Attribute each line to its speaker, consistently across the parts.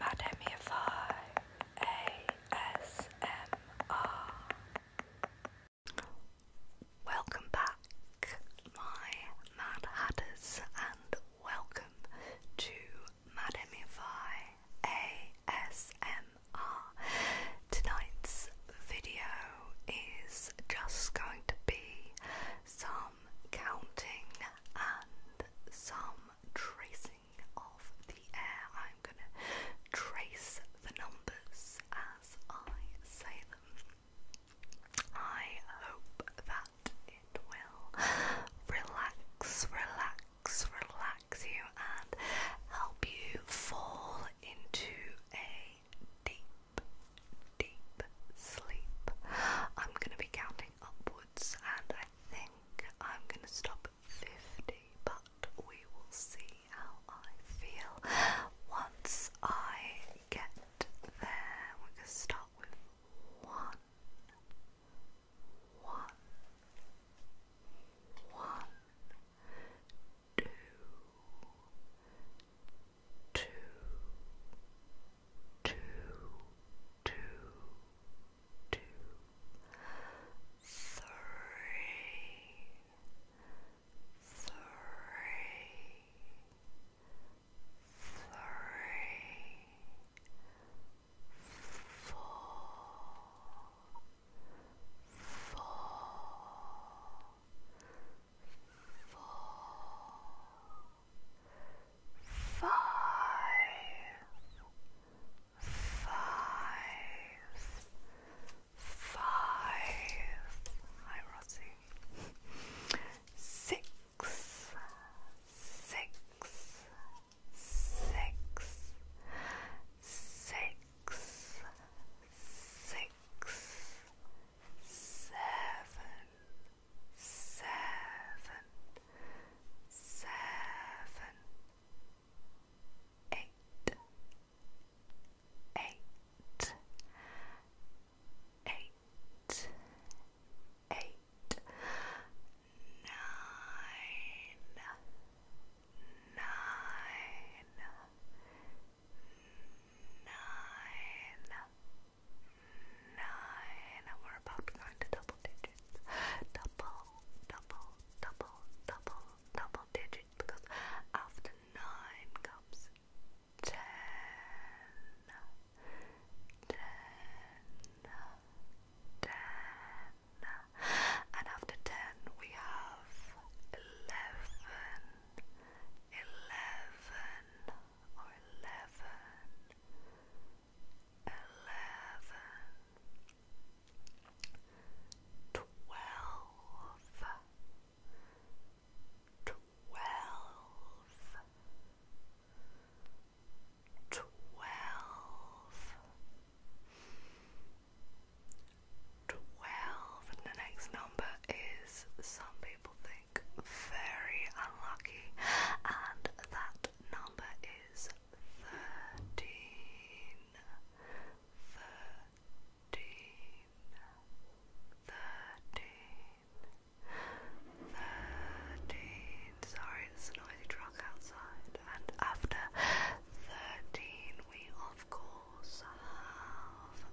Speaker 1: Madamify ASMR. Welcome back, my Mad Hatters, and welcome to Madamify ASMR. Tonight's video is just going to be some counting and some tracing of the air. I'm going to trace the numbers as I say them. I hope that it will relax, relax, relax you and help you fall into a deep, deep sleep. I'm going to be counting upwards and I think I'm gonna stop at 50, but we will see how I feel once I get there. We're gonna start with one, one, one, two, two, two, two, two, three, three, three, four, four, four, five, five, five. Hi, Rosie. Six, six, six, six, six, seven seven, seven, eight, eight, eight, eight, nine, nine nine, nine. We're about to go into double digits. Double, double, double, double, double digits. Because after nine comes ten, ten, ten, and after ten we have eleven eleven or eleven, eleven, twelve, twelve, twelve twelve. the next number is some people think very unlucky, and that number is thirteen. Thirteen. Thirteen. Sorry, it's a noisy truck outside. And after thirteen, we of course have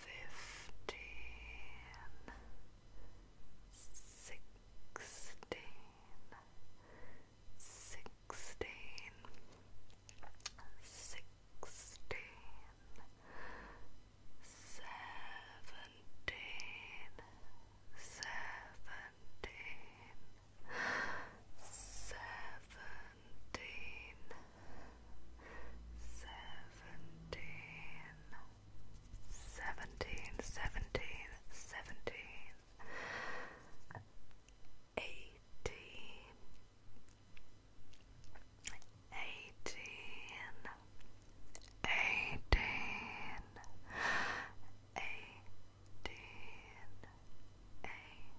Speaker 1: fifteen, sixteen, sixteen, sixteen, seventeen, seventeen, seventeen seventeen, seventeen, seventeen, seventeen, seventeen, eighteen, eighteen, eighteen, eighteen. Eighteen,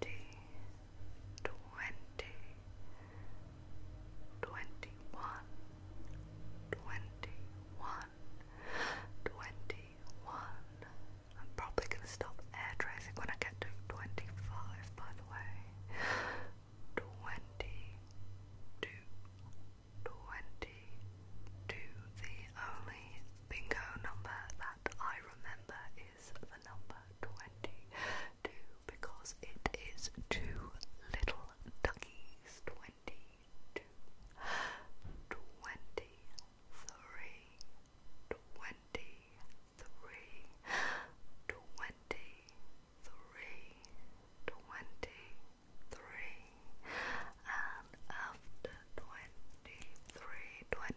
Speaker 1: twenty, twenty, twenty one, twenty one, twenty one. I'm probably gonna stop air tracing when I get to twenty five, by the way. Twenty two, twenty two. The only bingo number that I remember is the number 22 because it is two little duckies 22, and after twenty-three, twenty-three,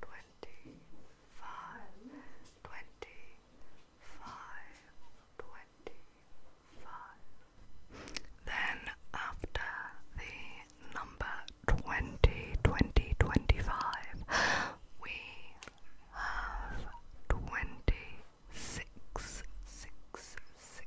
Speaker 1: twenty five, twenty five, twenty five. Then after the number twenty, twenty, twenty five, we have twenty six, six, six.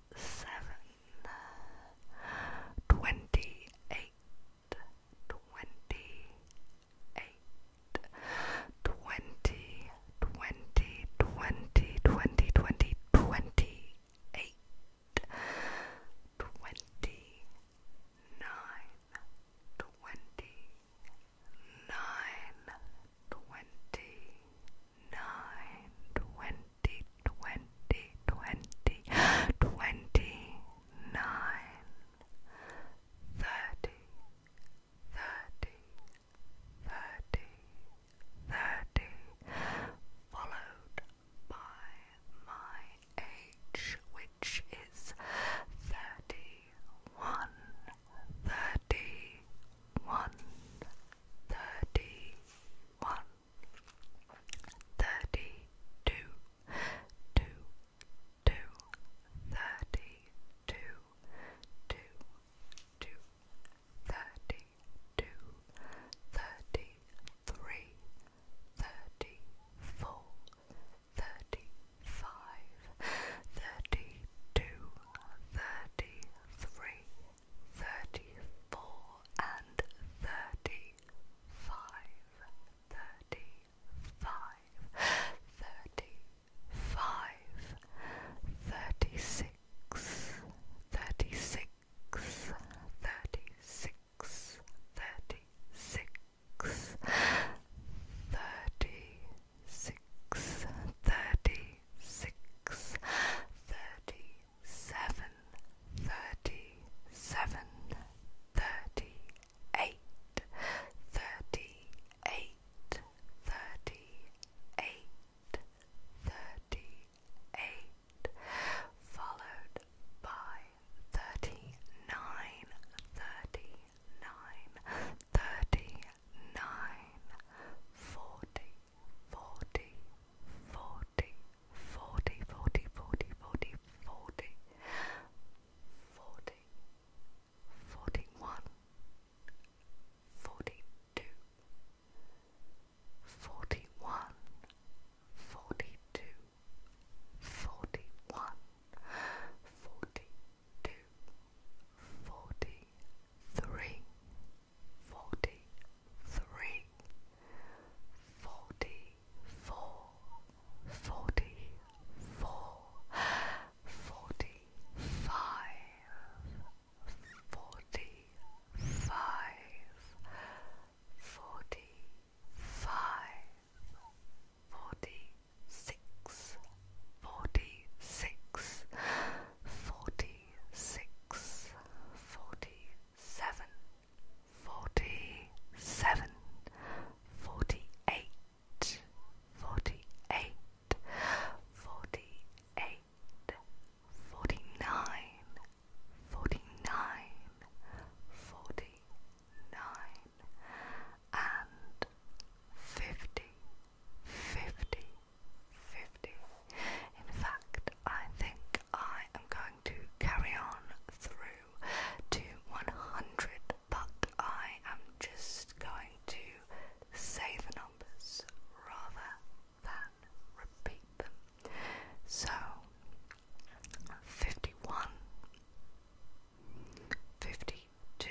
Speaker 1: seven, twenty eight, twenty eight, twenty, twenty, twenty, twenty, twenty, twenty eight, twenty nine, twenty nine, twenty nine, twenty. 20, followed by my age, which is 31, 31 thirty two, two, two, thirty two, two, two, thirty two, thirty three, thirty four, thirty five, thirty two, thirty three thirty-four and thirty-five, thirty-five, thirty-five, thirty-six, thirty-six, thirty-six, thirty-six, thirty-six, thirty-six, thirty seven, thirty seven, thirty eight, thirty eight, thirty eight, thirty eight, followed by thirty nine, thirty nine, thirty nine, forty forty, forty, forty, forty, forty, forty, forty, forty, forty-one, forty-two, forty-one, forty-two, forty-one, forty-two, forty-three forty three, forty four, forty four, forty five, forty five, forty five, forty six forty six, forty six, forty seven, forty seven, forty eight, forty eight, forty eight, forty nine, forty nine, forty nine, and fifty. 50 50. In fact, I think I am going to carry on through to 100, but I am just going to say the numbers rather than repeat them. So 51, 52,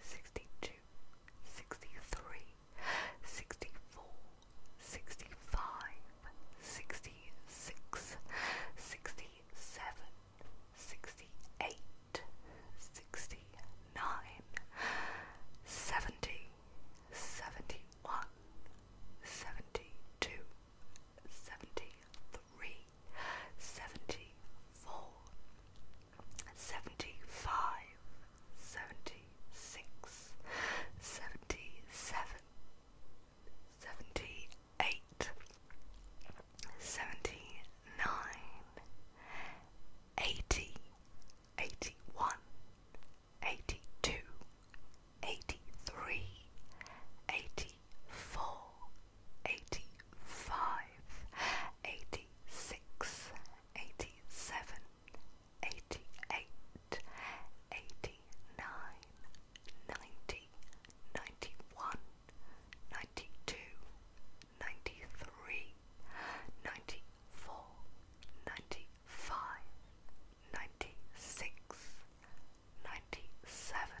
Speaker 1: Sixty two, sixty three, sixty four, sixty five, sixty six, sixty seven, sixty eight, sixty nine, seventy, seventy one, seventy two, seventy three three, seventy four, seventy five, seventy six, seventy seven, seventy eight, seventy nine, eighty, eighty one, eighty two, eighty three, eighty four eighty-five, eighty-six, eighty-seven, eighty-eight, eighty-nine, ninety, ninety-one, ninety-two, ninety-three, ninety-four, ninety-five, ninety-six, ninety-seven.